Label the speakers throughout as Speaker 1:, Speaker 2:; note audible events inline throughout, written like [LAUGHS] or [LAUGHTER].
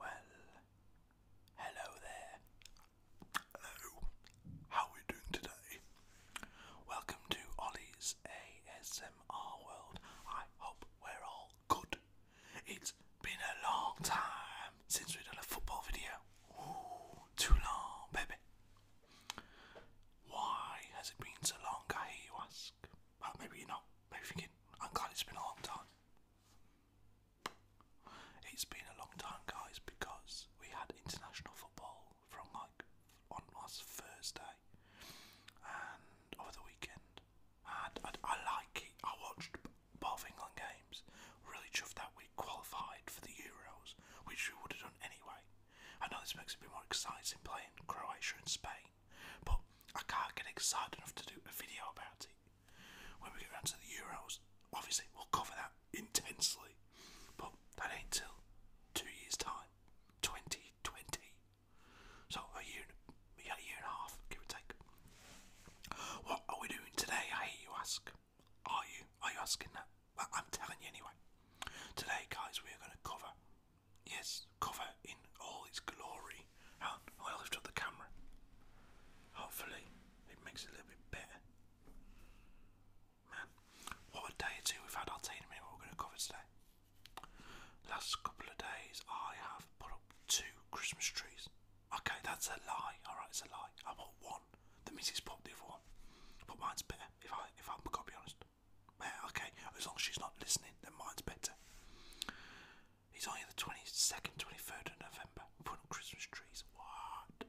Speaker 1: Well, hello there.
Speaker 2: Hello. How are we doing today? Welcome to Ollie's ASMR World. I hope we're all good. It's been a long time since we've done a football video. too long, baby. Why has it been so long, I hear you ask? Well, maybe you're not. Maybe thinking, I'm glad it's been a long time. It's been a long time, guys, because we had international football from like on last Thursday and
Speaker 1: over the weekend. And I, I like it. I watched both England games. Really chuffed that we qualified for the
Speaker 2: Euros, which we would have done anyway. I know this makes it be more exciting playing Croatia and Spain, but I can't get excited enough to do a video about it. When we get around to the Euros, obviously we'll cover that intensely, but that ain't till two years' time, 2020. So a year, a year and a half, give or take. What are we doing today? I hear you ask. Are you? Are you asking that? But I'm telling you anyway. Today, guys, we are going to cover, yes, cover in all its glory. How I lift up the camera. Hopefully, it makes it a little bit better. Man, what a day or two we've had. Our team tell you we're going to cover today. Last couple of days, I have put up two Christmas trees. Okay, that's a lie. All right, it's a lie. I want one. The missus popped the other one, but mine's better. If I if I'm gonna be honest, well, okay, as long as she's not listening, then mine's better. It's only the 22nd, 23rd of November. Putting up Christmas trees. What?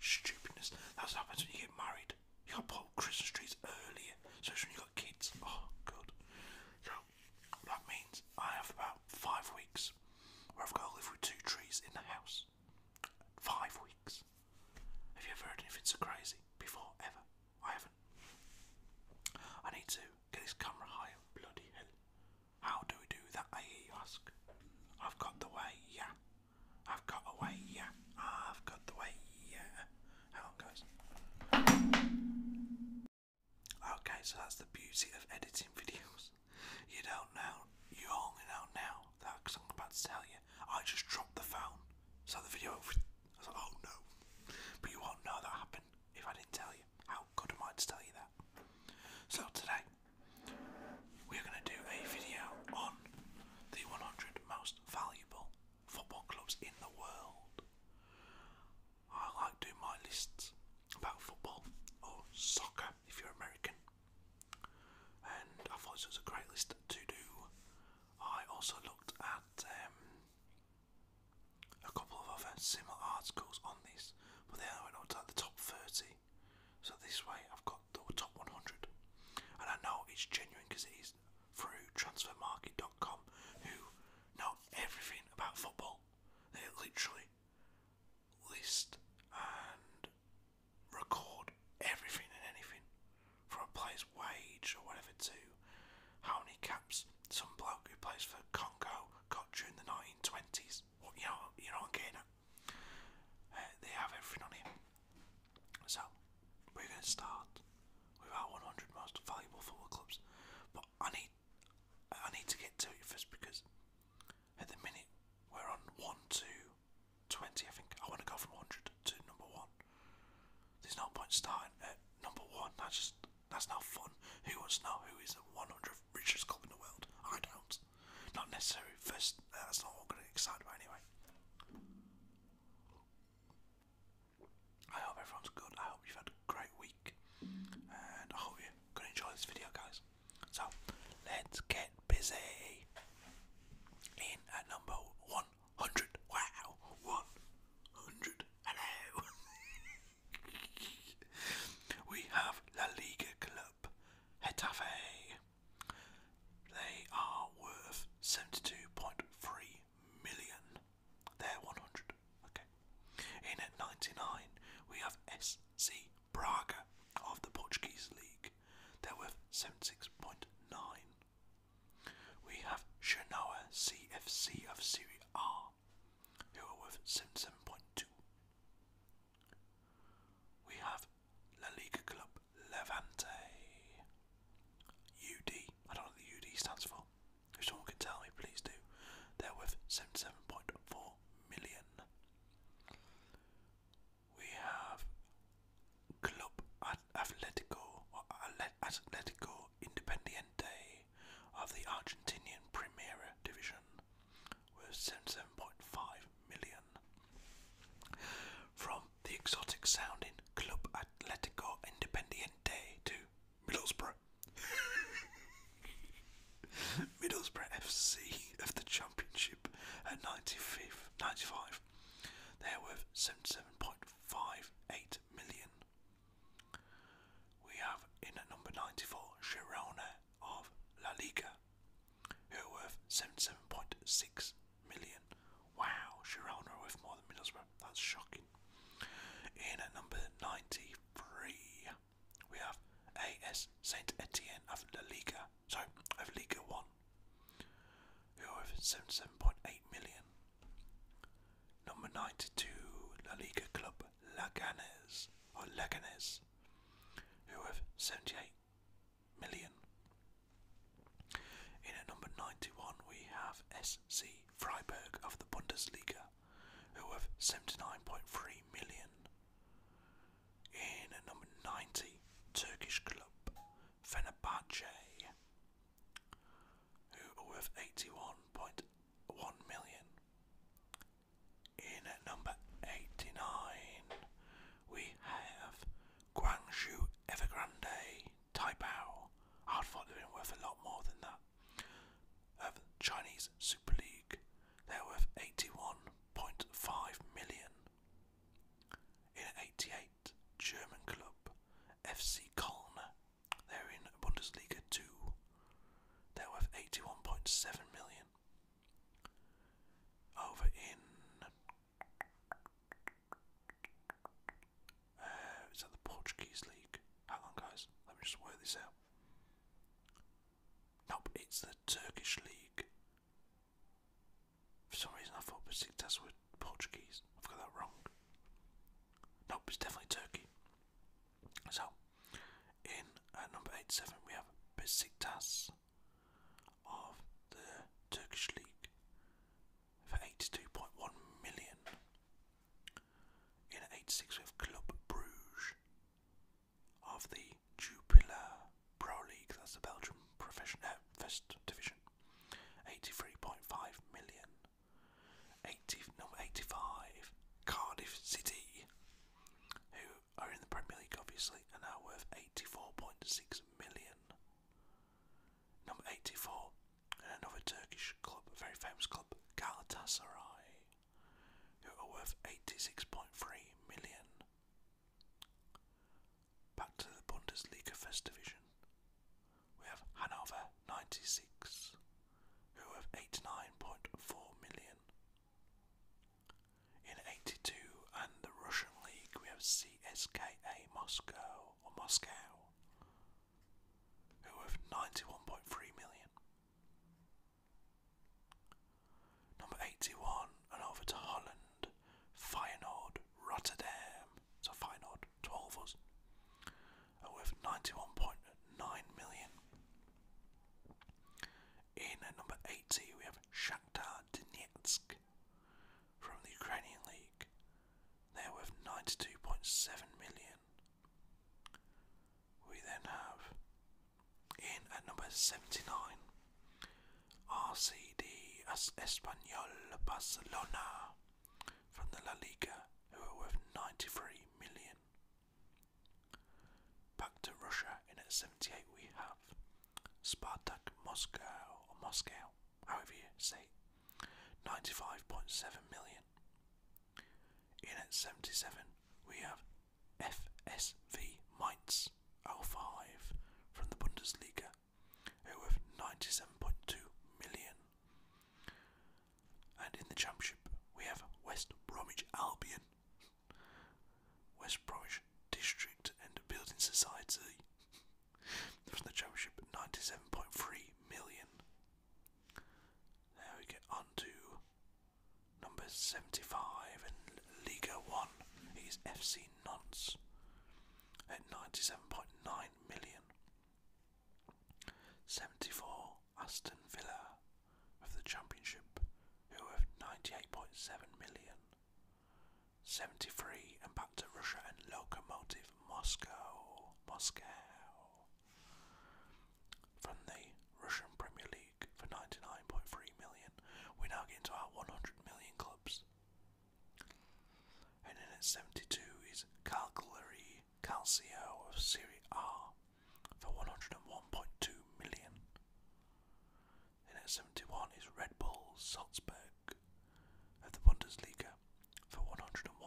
Speaker 2: Stupidness. That's what happens when you get married. You gotta put up Christmas trees earlier, especially when you got kids. Oh, God. So, that means I have about five weeks
Speaker 1: where I've got to live with two trees in the house. Five weeks. Have you
Speaker 2: ever heard anything so crazy before? Ever? I haven't. I need to get this camera higher. Bloody hell. How do we do that? I hear you ask. I've got the way, yeah. I've got a way, yeah. I've got the way, yeah. Hang on, guys. Okay, so that's the beauty of editing videos. You don't know, you only know now that because I'm about to tell you. I just dropped the phone. So the video, I was like, oh no. But you won't know that happened if I didn't tell you. How good am I to tell you that? So today, we're going to do a video on the 100 most valuable football clubs in the world. I like doing my lists about football or soccer if you're American. And I thought this was a great list to do I also looked at um, a couple of other similar articles on this, but they only went up the top 30. So this way, I've got the top 100, and I know it's genuine because it is through transfermarket.com, who know everything about football. They literally list and record everything and anything from a player's wage or whatever to how many caps some bloke who plays for Congo got during the 1920s. you know, you know what I'm getting at. Uh, they have everything on here. So we're going to start with our 100 most valuable football clubs, but I need I need to get to it first because at the minute we're on one, two, 20, I think. I want to go from 100 to number one. There's no point starting at number one. That's just that's not fun. Who wants to know who is the 100th richest club in the world? I don't. Not necessarily. First, uh, that's not what I'm going to excited by anyway. I hope everyone's good. I hope you've had a great week, and I hope you're going to enjoy this video, guys. So let's get busy. In at number one. 100. Wow. 100. Hello. [LAUGHS] we have La Liga Club. Hetafe. They are worth 72.3 million. They're 100. Okay. In at 99, we have SC Braga of the Portuguese League. They're worth 76.9 we have Shanoa CFC of Serie R, who are worth 77.2.
Speaker 1: We have La Liga Club Levante. UD, I don't know what the UD stands for. If someone could tell me, please do. They're worth 77.4
Speaker 2: million we have Club Atletico Independiente of the Argentinian Premier Division with 77.5 million. From the exotic sounding Club Atletico Independiente to Middlesbrough. [LAUGHS] Middlesbrough FC of the Championship at 95, 95 they're worth 77.58 million. We have in at number 94 Girona of La Liga, who are worth 77.6 million. Wow, Girona worth more than Middlesbrough. That's shocking. In at number 93, we have AS Saint Etienne of La Liga, so I've Liga One, who are seventy-seven point eight million. Number ninety-two, La Liga club Laganes or Laganes, who have seventy-eight million. In at number ninety-one, we have SC Freiburg of the Bundesliga, who have seventy-nine point three million. In at number ninety, Turkish club Fenerbahce who are worth 81.1 million. In at number 89, we have
Speaker 1: Guangzhou Evergrande Taipao. I'd thought they'd been worth a lot more than that. Of Chinese Super
Speaker 2: League, they're worth 81.5 million. In 88, German club FC Köln. They're in Bundesliga 2. They're worth 81.7 million. Over in. Uh, it's at the Portuguese League. Hang on, guys. Let me just work this out. Nope, it's the Turkish League. For some reason, I thought Besiktas were Portuguese. I've got that wrong. Nope, it's definitely Turkey. So, in uh, number 87, we have Besiktas of the Turkish League for 82.1 million. In 86, we have Club Bruges of the Jupiler Pro League, that's the Belgium profession, uh, First Division, 83.5 million. 80, no, 85, Cardiff City, who are in the Premier League obviously, are now worth 84.6 million. Number 84, and another Turkish club, a very famous club, Galatasaray, who are worth 86.3 million. Back to the Bundesliga First Division. We have Hanover 96, who have 89.4 million. In 82 and the Russian League, we have CSKA Moscow or Moscow, who have 91.3 million. Number 81, and over to Holland, Feyenoord Rotterdam, it's a fine odd, 12 of us. Are worth 91.9 million. In at number 80, we have Shakhtar Donetsk from the Ukrainian League. They're worth 92.7 million. We then have in at number 79 RCD As Español Barcelona from the La Liga, who are worth 93 million. Back to Russia in at 78 we have Spartak Moscow, or Moscow, however you say, 95.7 million. In at 77 we have FSV Mainz 05 from the Bundesliga, with 97.2 million. And in the Championship, we have West Bromwich Albion, West Bromwich District and Building Society. [LAUGHS] From the Championship, 97.3 million. Now we get on to number 75 in Liga 1. It is FC nonce at 97.9 million. 74 Aston Villa of the Championship, who have 98.7 million. 73 and back to Russia and Lokomotive Moscow. Moscow. From the Russian Premier League for 99.3 million, we now get into our 100 million clubs. And then at 72 is Calgary Calcio of Serie A for 101.2 million. Then at 71 is Red Bull Salzburg of the Bundesliga for 101.3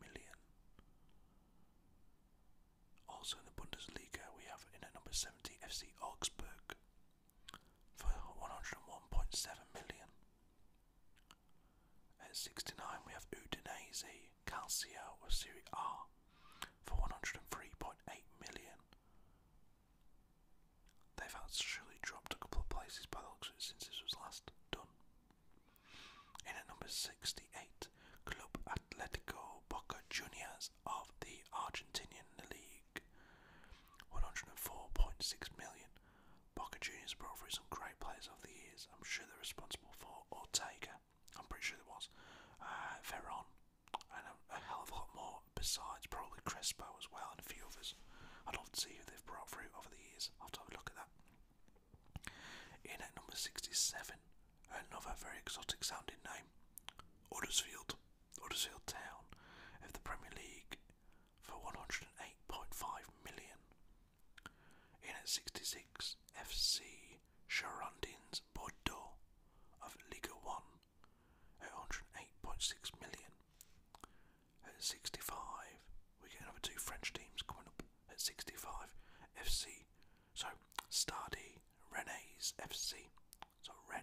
Speaker 2: million. Also in the Bundesliga, we have in at number 70 FC Augsburg for 101.7 million. At 69 we have Udinese Calcio of Serie A for 103.8 million. They've actually dropped a couple of places by the looks since this was last done. In at number 68, Club Atletico Boca Juniors of the Argentinian League league. 104.6 million. Boca Juniors brought through some great players over the years. I'm sure they're responsible for or take. I'm pretty
Speaker 1: sure there was. Uh, Veron. And a, hell of a lot more besides. Probably
Speaker 2: Crespo as well and a few others. I'd love to see who they've brought through over the years. I'll have a look at that. In at number 67, another very exotic sounding name. Huddersfield. Huddersfield Town of the Premier League for 108.5 million. In at 66, FC Girondins Bordeaux of Liga 1 at 108.6 million. At 65, we get another two French teams coming up at 65, FC. So, Stade Rennes FC. So, Ren.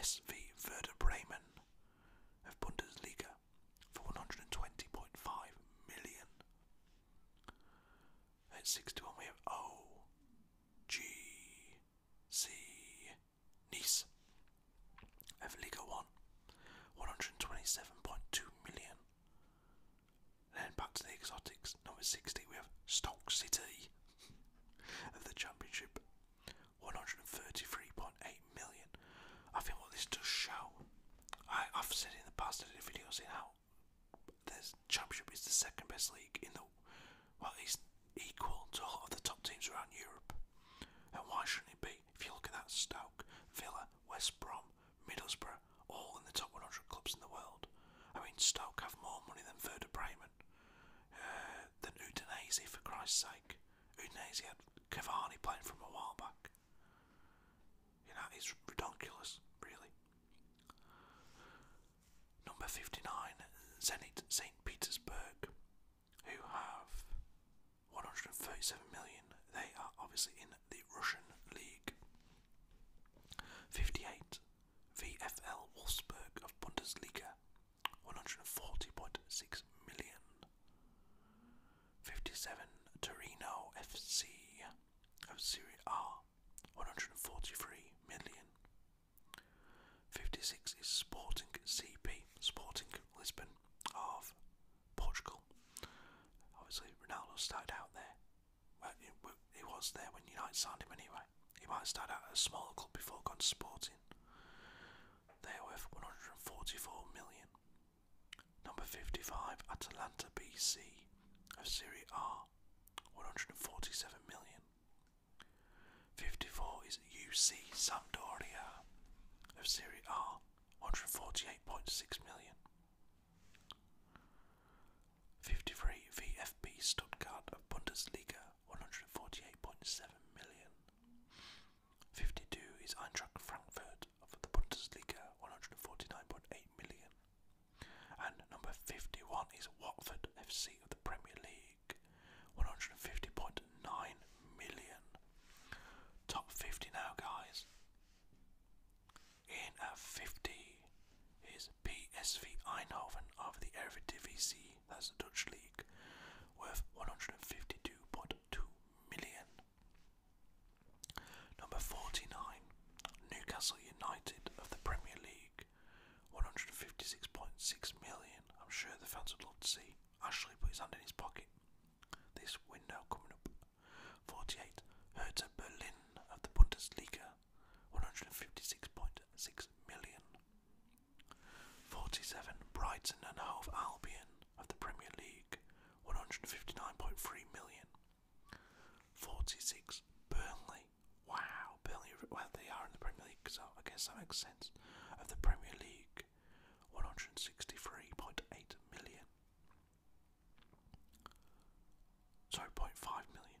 Speaker 2: SV Werder Bremen of Bundesliga for 120.5 million. At sixty-one we have O G C Nice of Liga 1, 127.2 million. Then back to the exotics, number 60, we have Stoke City of the Championship 133.8 million. I think what this does show, I, I've said in the past, I did how the Championship is the second best league in the well, it's equal to a lot of the top teams around Europe. And why shouldn't it be? If you look at that, Stoke, Villa, West Brom, Middlesbrough, all in the top 100 clubs in the world. I mean, Stoke have more money than Werder Bremen uh, Udinese, for Christ's sake. Udinese had Cavani playing from a while back. You know, it's ridiculous, really. Number 59, Zenit St. Petersburg, who have 137
Speaker 1: million. They are obviously in the Russian league. 58, VFL Wolfsburg of Bundesliga,
Speaker 2: 140.6 million. 57 Torino FC of Serie A, 143 million. 56 is Sporting CP, Sporting Lisbon of Portugal. Obviously, Ronaldo started out there. Well, he was there when United signed him anyway. He might start out at a smaller club before going to Sporting. They're worth 144 million. Number 55, Atalanta BC of Serie R, 147 million. 54 is UC Sampdoria of Serie R, 148.6 million. 53 VFB Stuttgart of Bundesliga, 148.7 million. 52 is Eintracht Frankfurt of the Bundesliga, 149.8 million. And number 51 is Watford FC of the Premier League, 150.9 million. Top 50 now, guys. In at 50 is PSV Eindhoven of the Eredivisie that's the Dutch league, worth 152.2 million. Number 49, Newcastle United of the Premier League, 156.6 million. I'm sure the fans would love to see Ashley put his hand in his pocket. This window coming up. 48, Hertha Berlin of the Bundesliga, 156.6 million. 47. Brighton and Hove Albion of the Premier League, 159.3 million.
Speaker 1: 46. Burnley. Wow, Burnley, well, they are in the Premier League, so
Speaker 2: I guess that makes sense. Of the Premier League, 163.8 million. Sorry, 0.5 million.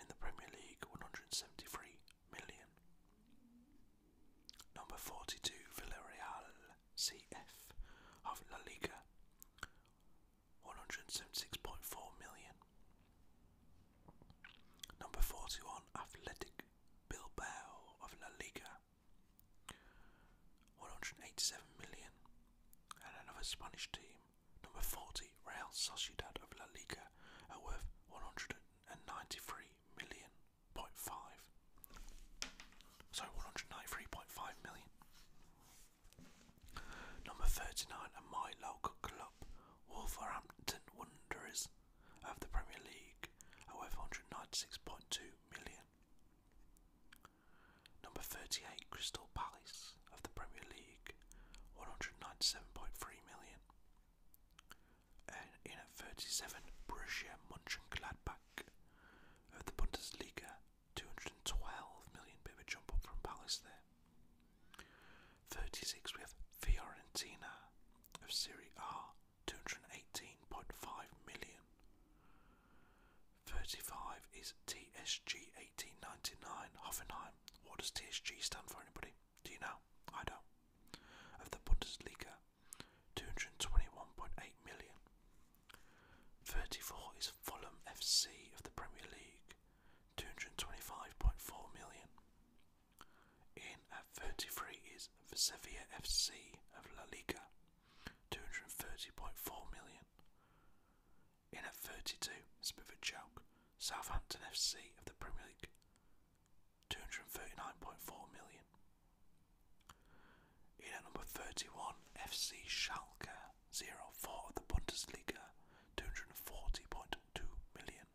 Speaker 2: in the Premier League, 173 million. Number 42, Villarreal CF of La Liga, 176.4 million. Number 41, Athletic Bilbao of La Liga, 187 million. And another Spanish team, Number 40, Real Sociedad of La Liga are worth 193 million point five. So 193.5 million. Number 39, and my local club, Wolverhampton Wanderers of the Premier League are worth 196.2 million. Number 38, Crystal Palace of the Premier League, 197.3 million. And in at 37, Borussia Mönchengladbach of the Bundesliga, 212 million, bit of a jump up from Palace there. 36, we have Fiorentina of Serie A, 218.5 million. 35 is TSG 1899 Hoffenheim what does THG stand for, anybody? Do you know? I don't. Of the Bundesliga, 221.8 million. 34 is Fulham FC of the Premier League, 225.4 million. In at 33 is Sevilla FC of La Liga, 230.4 million. In at 32, Smithard Choke, Southampton FC of the Premier League, 239.4 million. In at number 31, FC Schalke zero four of the Bundesliga, 240.2 million.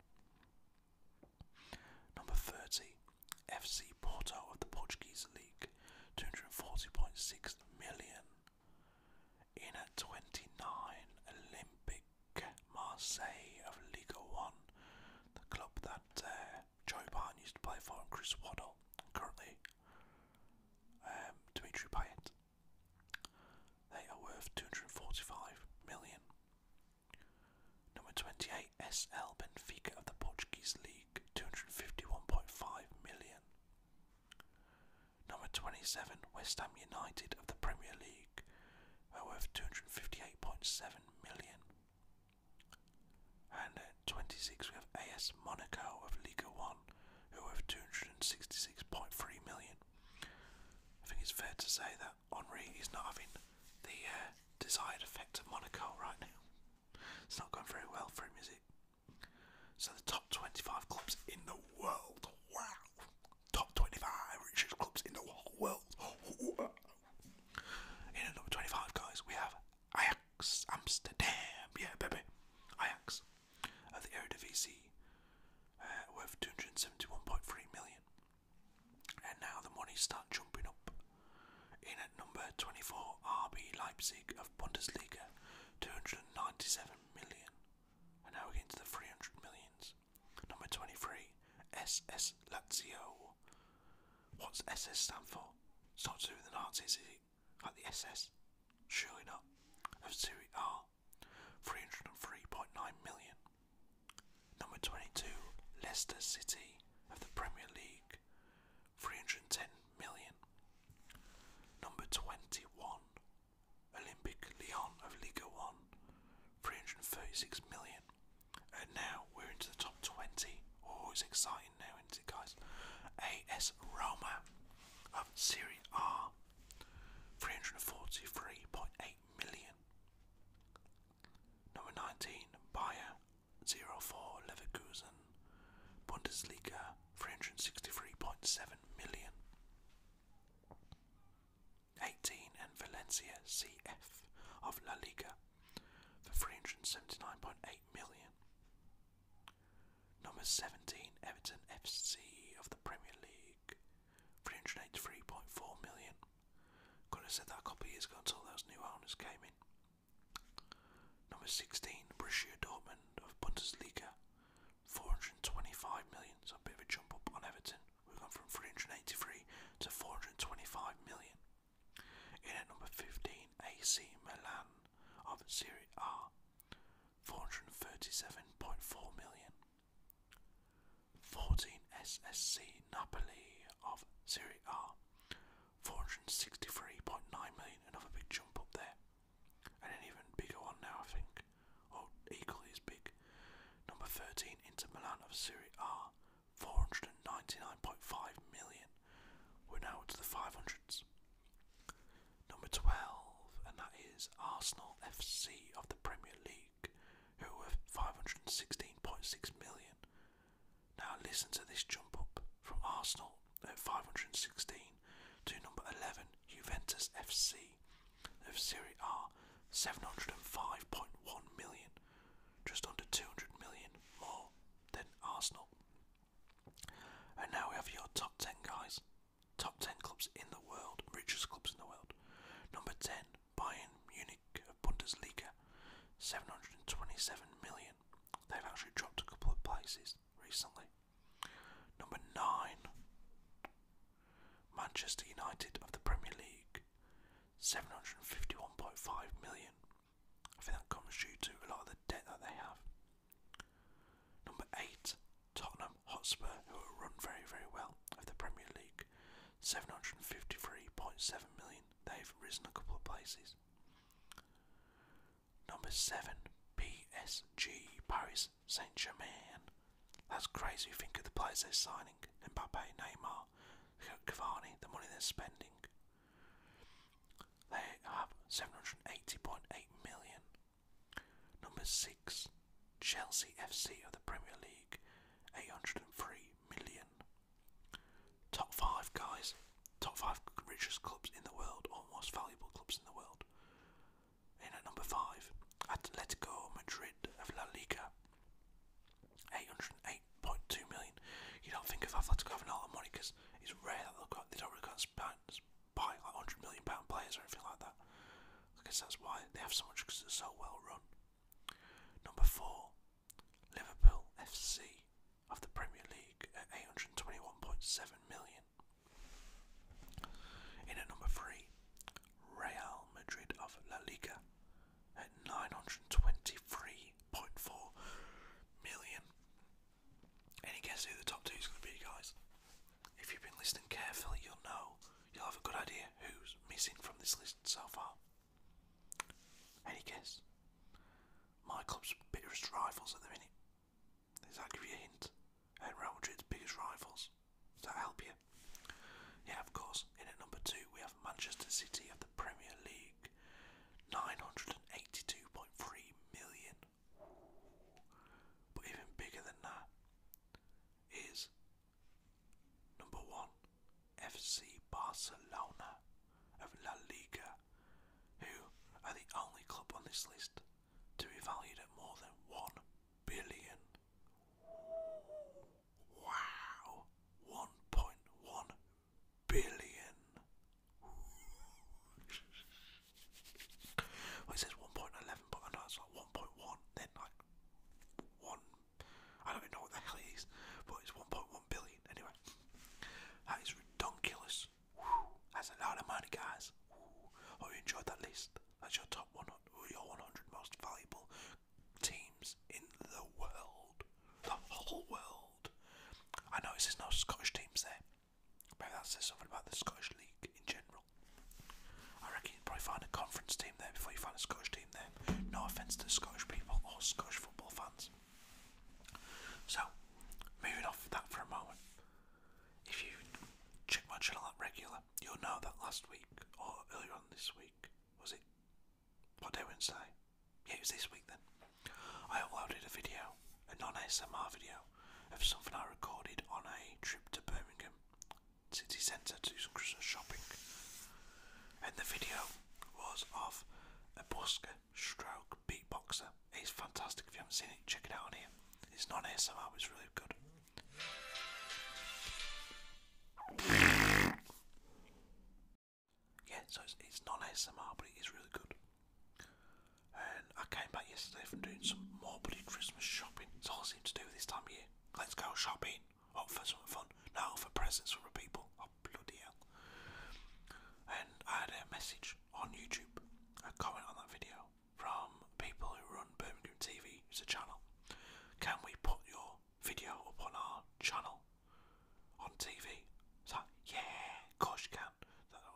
Speaker 2: Number 30, FC Porto of the Portuguese League, 240.6 million. In at 29, Olympic Marseille of Liga One, the club that uh, Joey used to play for, and Chris Waddle, currently um, Dimitri Payet. They are worth 245 million.
Speaker 1: Number 28, SL Benfica of the Portuguese League, 251.5
Speaker 2: million. Number 27, West Ham United of the Premier League are worth 258.7 million. And at 26, we have AS Monaco of Liga 1 who have worth 266.3 million. I think it's fair to say that Henri is not having the uh, desired effect of Monaco right now. It's not going very well for him, is it? So the top 25 clubs in the world. Wow top 25 richest clubs in the whole world. In at number 25, guys, we have Ajax Amsterdam. Yeah, baby. Ajax at the Eredivisie, uh, worth 271.3 million. And now the money start jumping up. In at number 24, RB Leipzig of Bundesliga, 297 million. And now we're getting the 300 millions. Number 23, SS Lazio. What's SS stand for? It's not to do with the Nazis, is it? Like the SS? Surely not. Of Serie R, 303.9 million. Number 22, Leicester City of the Premier League, 310 million. Number 21, Olympic Lyon of Liga 1, 336 million. And now we're into the top 20. Oh, it's exciting now, isn't it, guys? AS Roma of Serie R, 343.8 million. Number 19, Bayer 04 Leverkusen, Bundesliga, 363.7 million. 18 and Valencia CF of La Liga for 379.8 million. Number 17 Everton FC of the Premier League 383.4 million. Could have say that a couple of years ago until those new owners came in. Number 16 Borussia Dortmund of Bundesliga 425 million, so a bit of a jump up on Everton. We've gone from 383 to 425 million. In at number 15, AC Milan of Serie A, 437.4 million. 14, SSC Napoli of Serie A, 463.9 million, another big jump up there. And an even bigger one now, I think or oh, equally as big. Number 13, Inter Milan of Serie A, 499.5 million. We're now to the 500s. Number 12, and that is Arsenal FC of the Premier League, who were 516.6 million. Now listen to this jump up from Arsenal at 516 to number 11, Juventus FC
Speaker 1: of Serie A, 705.1 million, just under
Speaker 2: 200 million more than Arsenal. And now we have your top 10 guys, top 10 clubs in the world, richest clubs in the world. Number 10, Bayern Munich of Bundesliga, 727 million. They've actually dropped a couple of places recently. Number 9, Manchester United of the Premier League, 751.5 million. I think that comes due to a lot of the debt that they have. Number 8, Tottenham Hotspur, who run very, very well of the Premier League, 753.7 million. They've risen a couple of places. Number 7, PSG, Paris Saint Germain. That's crazy. think of the players they're signing Mbappe, Neymar, Cavani, the money they're spending. They have 780.8 million. Number 6, Chelsea FC of the Premier League, 803 million. Top 5 guys, top 5 richest clubs in the world, or most valuable clubs in the world. In at number five, Atletico Madrid of La Liga. 808.2 million. You don't think of Atletico having all that money because it's rare that they don't really can't buy like 100 million pound players or anything like that. I guess that's why they have so much because they're so well run. Number four, Liverpool FC of the Premier League at 821.7 million. In at number three, Real Madrid of La Liga at 923.4 million. Any guess who the top two is going to be, guys? If you've been listening carefully, you'll know, you'll have a good idea who's missing from this list so far. Any guess? My club's bitterest rivals at the minute. Does that give you a hint? and Real Madrid's biggest rivals. Does that help you? Yeah, of course. In at number two, we have Manchester City of the Premier League, nine hundred and eighty-two point three million. But even bigger than that is number one, FC Barcelona of La Liga, who are the only club on this list to be valued at more than one billion Wow, 1.1 billion. well, says 1.11, but I know it's like 1.1, then like 1. I don't even know what the hell it is, but it's 1.1 billion. Anyway, that is redonkulous. That's a lot of money, guys. Hope you enjoyed that list. That's your top one, your 100 most valuable teams in the world, the whole world. I notice there's no Scottish teams there. Maybe that says something about the Scottish League in general. I reckon you'd probably find a conference team there before you find a Scottish team there. No offence to Scottish people or Scottish football fans. So, moving off that for a moment. If you check my channel out regular, You'll know that last week or earlier on this week. Was it? What day Wednesday? Yeah, it was this week then. I uploaded a video, a non smr video, of something I recorded on a trip to Birmingham City Centre to do some Christmas shopping. And the video was of a busker stroke beatboxer. He's fantastic if you haven't seen it, check it out on here. It's non ASMR, it's really good. Yeah, so it's, it's non ASMR, but it is really good. And I came back yesterday from doing some more bloody Christmas shopping. It's all I seem to do this time of year. Let's go shopping. Up for some fun. Now for presents for people. Oh, bloody hell. And I had a message on YouTube, a comment on that video, from people who run Birmingham TV, it's a channel. Can we put your video up on our channel on TV? It's like, yeah, of course you can.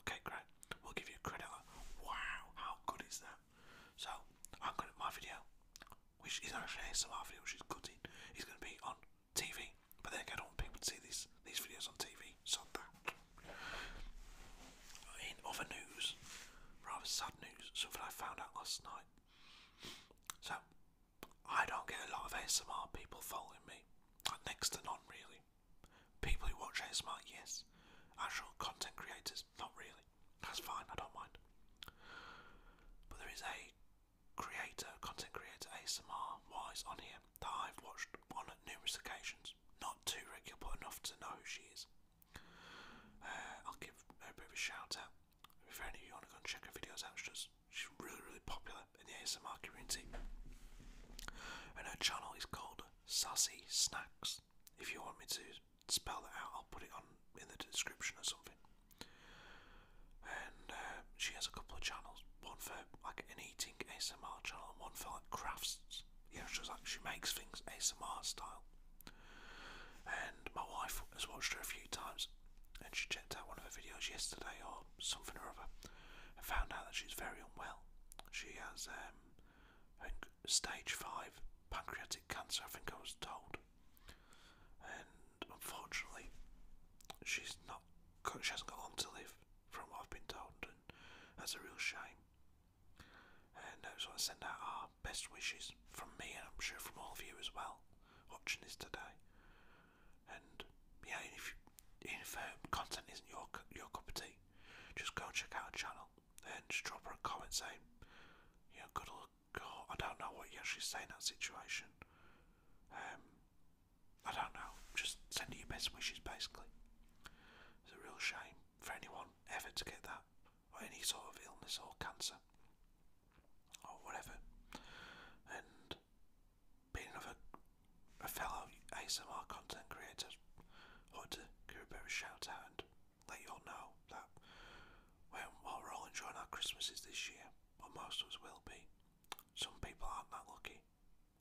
Speaker 2: okay, great. We'll give you credit. wow, how good is that? So, I'm going to my video, which is actually ASMR video, which is cutting, is going to be on TV. But then I don't want people to see these, these videos on TV, so that. In other news, rather sad news, something I found out last night. So, I don't get a lot of ASMR people following me. Like next to none, really. People who watch ASMR, yes. Actual content creators, not really. That's fine, I don't mind. But there is a creator, content creator, ASMR wise on here that I've watched on numerous occasions. Not too regular, enough to know who she is. Uh, I'll give a bit of a shout out. If any of you want to go and check her videos out, she's, really, really popular in the ASMR community. And her channel is called Sassy Snacks. If you want me to spell that out, I'll put it on in the description or something. And uh, she has a couple of channels. One for like an eating ASMR channel, and one for like crafts. Yeah, she's like she makes things ASMR style. And my wife has watched her a few times, and she checked out one of her videos yesterday or something or other, and found out that she's very unwell. She has um, stage five pancreatic cancer, I think I was told, and unfortunately,
Speaker 1: she's not. She hasn't got long to live, from what I've been told, and that's a real shame. And I just want send out our best wishes from me, and I'm sure from all of you as well, watching this today. And yeah, if even if
Speaker 2: uh, content isn't your your cup of tea, just go check out our channel and just drop a comment saying, you know, good luck. Or I don't know what you actually say in that situation. Um, I don't know. Just send her your best wishes, basically. It's a real shame for anyone ever to get that or any sort of illness or cancer or whatever. And being another fellow ASMR content creator, I to give a bit of shout out let you all know that while we're all enjoying our Christmases this year, or most of us will be, some people aren't that lucky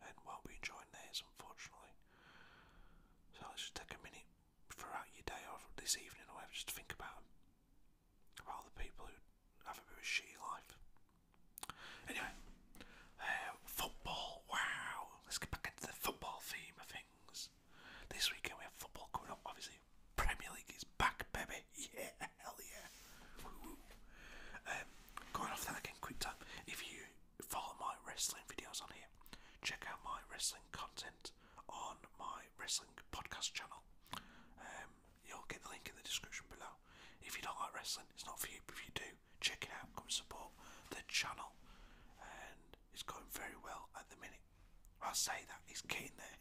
Speaker 2: and won't be enjoying theirs unfortunately. So let's just take a minute throughout your day or this evening or whatever, just think about About the people who have a bit of shitty life. Anyway, uh, football, wow. Let's get back into the football theme of things. This weekend we have football coming up, obviously. Premier League is back, baby. [LAUGHS] Yeah, hell yeah. Um, going off that again, quick time. If you follow my wrestling videos on here, check out my wrestling content on my wrestling podcast channel. Um, you'll get the link in the description below. If you don't like wrestling, it's not for you, but if you do, check it out, come support the channel. And it's going very well at the minute. I'll say that, he's keen there.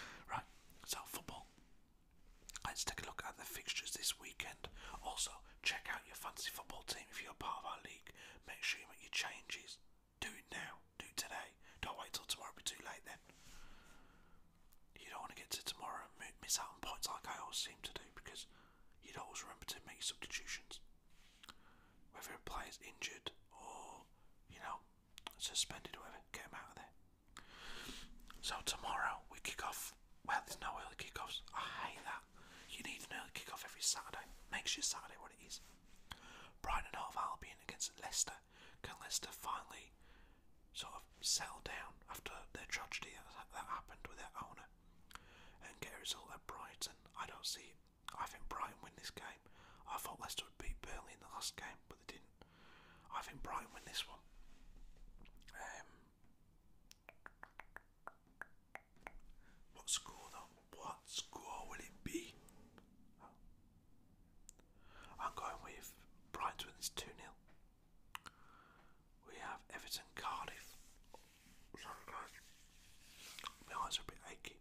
Speaker 2: [LAUGHS] Right, so football. Let's take a look at the fixtures this weekend. Also, check out your fantasy football team if you're part of our league. Make sure you make your changes. Do it now. Do today. Don't wait till tomorrow. It'll be too late then. You don't want to get to tomorrow and miss out on points like I always seem to do because you'd always remember to make substitutions. Whether a player's injured or, you know, suspended or whatever, get out of there. So tomorrow we kick off. Well, there's no early kickoffs. I hate that. You need an early kickoff every Saturday. Make sure Saturday what it is. Brighton and Hove Albion against Leicester. Can Leicester finally sort of settle down after their tragedy that, happened with their owner and get a result at Brighton? I don't see I think Brighton win this game. I thought Leicester would beat Burnley in the last game, but they didn't. I think Brighton win this one. Um, what score though? What score will it be? I'm going with Brighton is 2 0. We have Everton Cardiff. My eyes are a bit achy.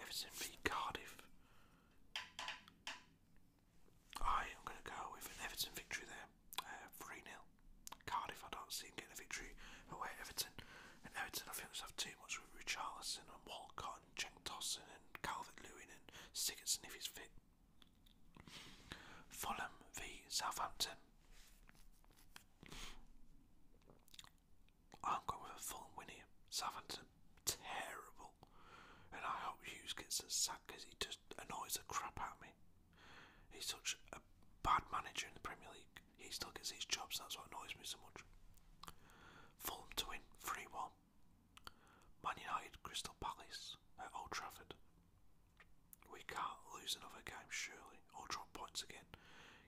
Speaker 2: Everton v Cardiff. I am going to go with an Everton victory there. Uh, 3 uh, Cardiff, I don't see him getting a victory away Everton. And Everton, I think they have too much with Richarlison and Walcott and Cenk Tosin and Calvert Lewin and Sigurdsson if he's fit. Fulham v Southampton. I'm going with a Fulham win here. Southampton, terrible. And I hope Hughes gets a sack because he just annoys the crap out of me. He's such a bad manager in the Premier League he still gets these jobs, that's what annoys me so much. Fulham to win 3 1. Man United Crystal Palace at Old Trafford. We can't lose another game, surely, or drop points again.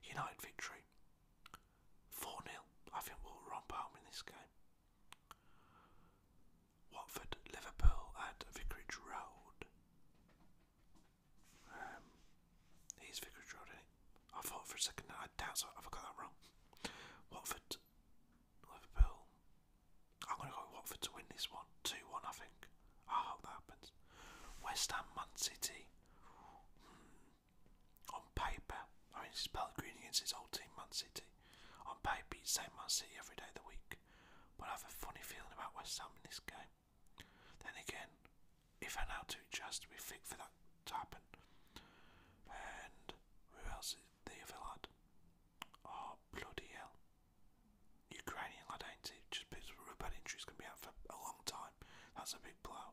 Speaker 2: United victory 4 0. I think we'll romp home in this game. Watford, Liverpool at Vicarage Road. Um, He's Vickers Road, I thought for a second, I doubt so. Have I got that wrong? Watford, Liverpool. I'm going to go Watford to win this one. 2 1, I think. I hope that happens. West Ham, Man City. Hmm. On paper, I mean, it's Pellegrini against his old team, Man City. On paper, you'd say Man City every day of the week. But I have a funny feeling about West Ham in this game. Then again, if an too just to be fit for that to happen. And who else is they have a lad? Oh bloody hell. Ukrainian lad ain't it? Just because rubber injuries can be out for a long time. That's a big blow.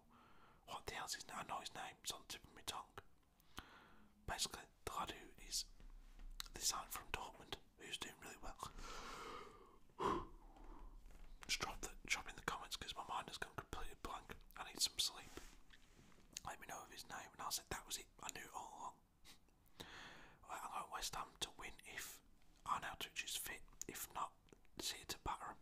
Speaker 2: What the hell's is name? I know his name, it's on the tip of my tongue. Basically, the lad who is the sign from Dortmund, who's doing really well. [SIGHS] Just drop, the, drop in the comments because my mind has gone completely blank. I need some sleep. Let me know of his name, and I said that was it. I knew all along. [LAUGHS] I got West Ham to win if Arne fit. If not, see it to batter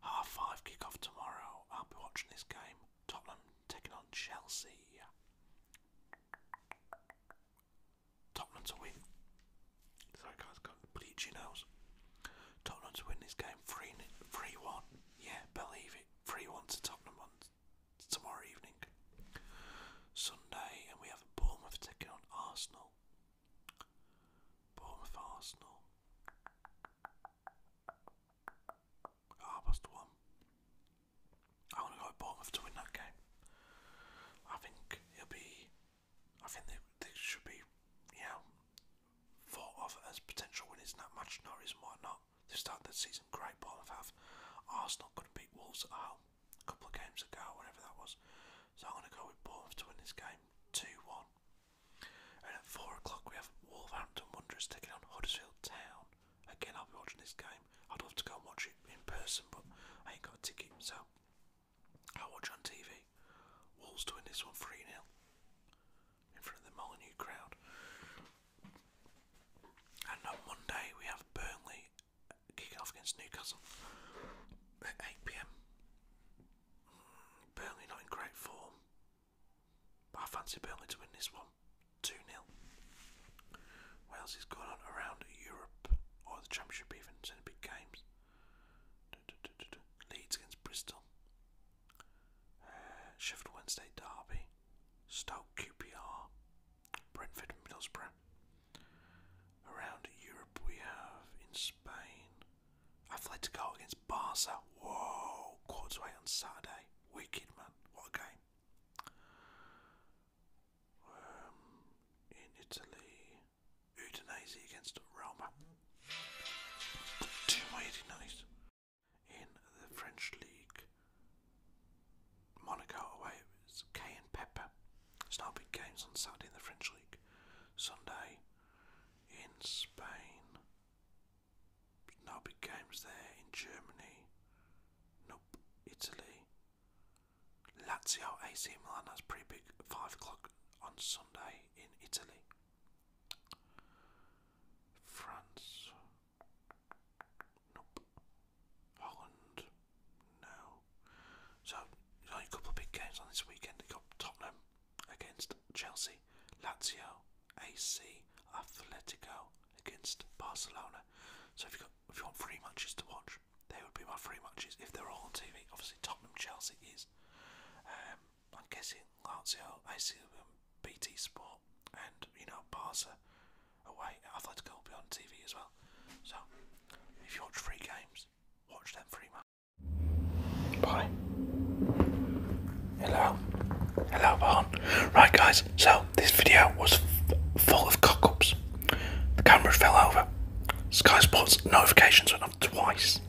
Speaker 2: Half five kickoff tomorrow. I'll be watching this game. Tottenham taking on Chelsea. Tottenham to win. Sorry guys, got bleachy nose. Tottenham to win this game 3-1. Yeah, believe it. 3-1 to Tottenham on tomorrow evening. Sunday, and we have Bournemouth taking on Arsenal. Bournemouth Arsenal. Half past one. I want to go with Bournemouth to win that game. I think it'll be I think they, they should be, you know, thought of as potential winners in that match. Norris might not. They started the season great. Bournemouth have. Arsenal couldn't beat Wolves at home a couple of games ago, whatever that was. So I'm going to go with Bournemouth to win this game 2 1. And at 4 o'clock, we have Wolverhampton Wanderers taking on Huddersfield Town. Again, I'll be watching this game. I'd love to go and watch it in person, but I ain't got a ticket, so I watch on TV. Wolves doing this one 3 0 in front of the Molyneux crowd. And on Monday, we have Burnley kicking off against Newcastle at 8 pm. Mm, Burnley not in great form, but I fancy Burnley to win this one 2 0. Wales is going on around Europe or the Championship, even, in big games. Leeds against Bristol. Uh, Sheffield Wednesday Derby. Stoke QPR. Brentford and Middlesbrough. Around Europe we have in Spain. Atletico against Barca. Whoa! Quarter on Saturday. Wicked man. What a game. Um, in Italy. Udinese against Roma. Two mighty nice. In the French league, Monaco away it's Kay and Pepper. It's big games on Saturday in the French league. Sunday in Spain. No big games there in Germany. Nope. Italy. Lazio AC Milan, that's pre big. Five o'clock on Sunday in Italy. France. Nope. Holland. No. So only a couple of big games on this weekend. They got Tottenham against Chelsea, Lazio, AC, Atletico against Barcelona. So if you if you want three matches to watch, they would be my three matches if they're all on TV. Obviously Tottenham Chelsea is. Um, I'm guessing Lazio, AC Milan, BT Sport, and you know Barca away. Athletic would like to go beyond TV as well. So if you watch free games, watch them free. matches. Bye. Hello. Hello, Right, guys. So this video was full of cockups. The camera fell over. Sky Sports notifications not twice.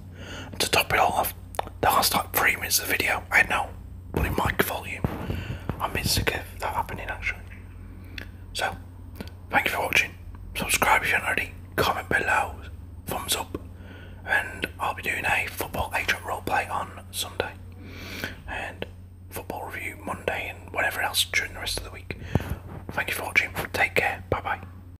Speaker 2: to top it all off, the last like three minutes of the video, I had no bloody mic volume. I'm a bit sick of that happening So, thank you for watching. Subscribe if you haven't already, comment below, thumbs up, and I'll be doing a football agent up roleplay on Sunday. And football review Monday and whatever else during the rest of the week. Thank you for watching. Take care. Bye bye.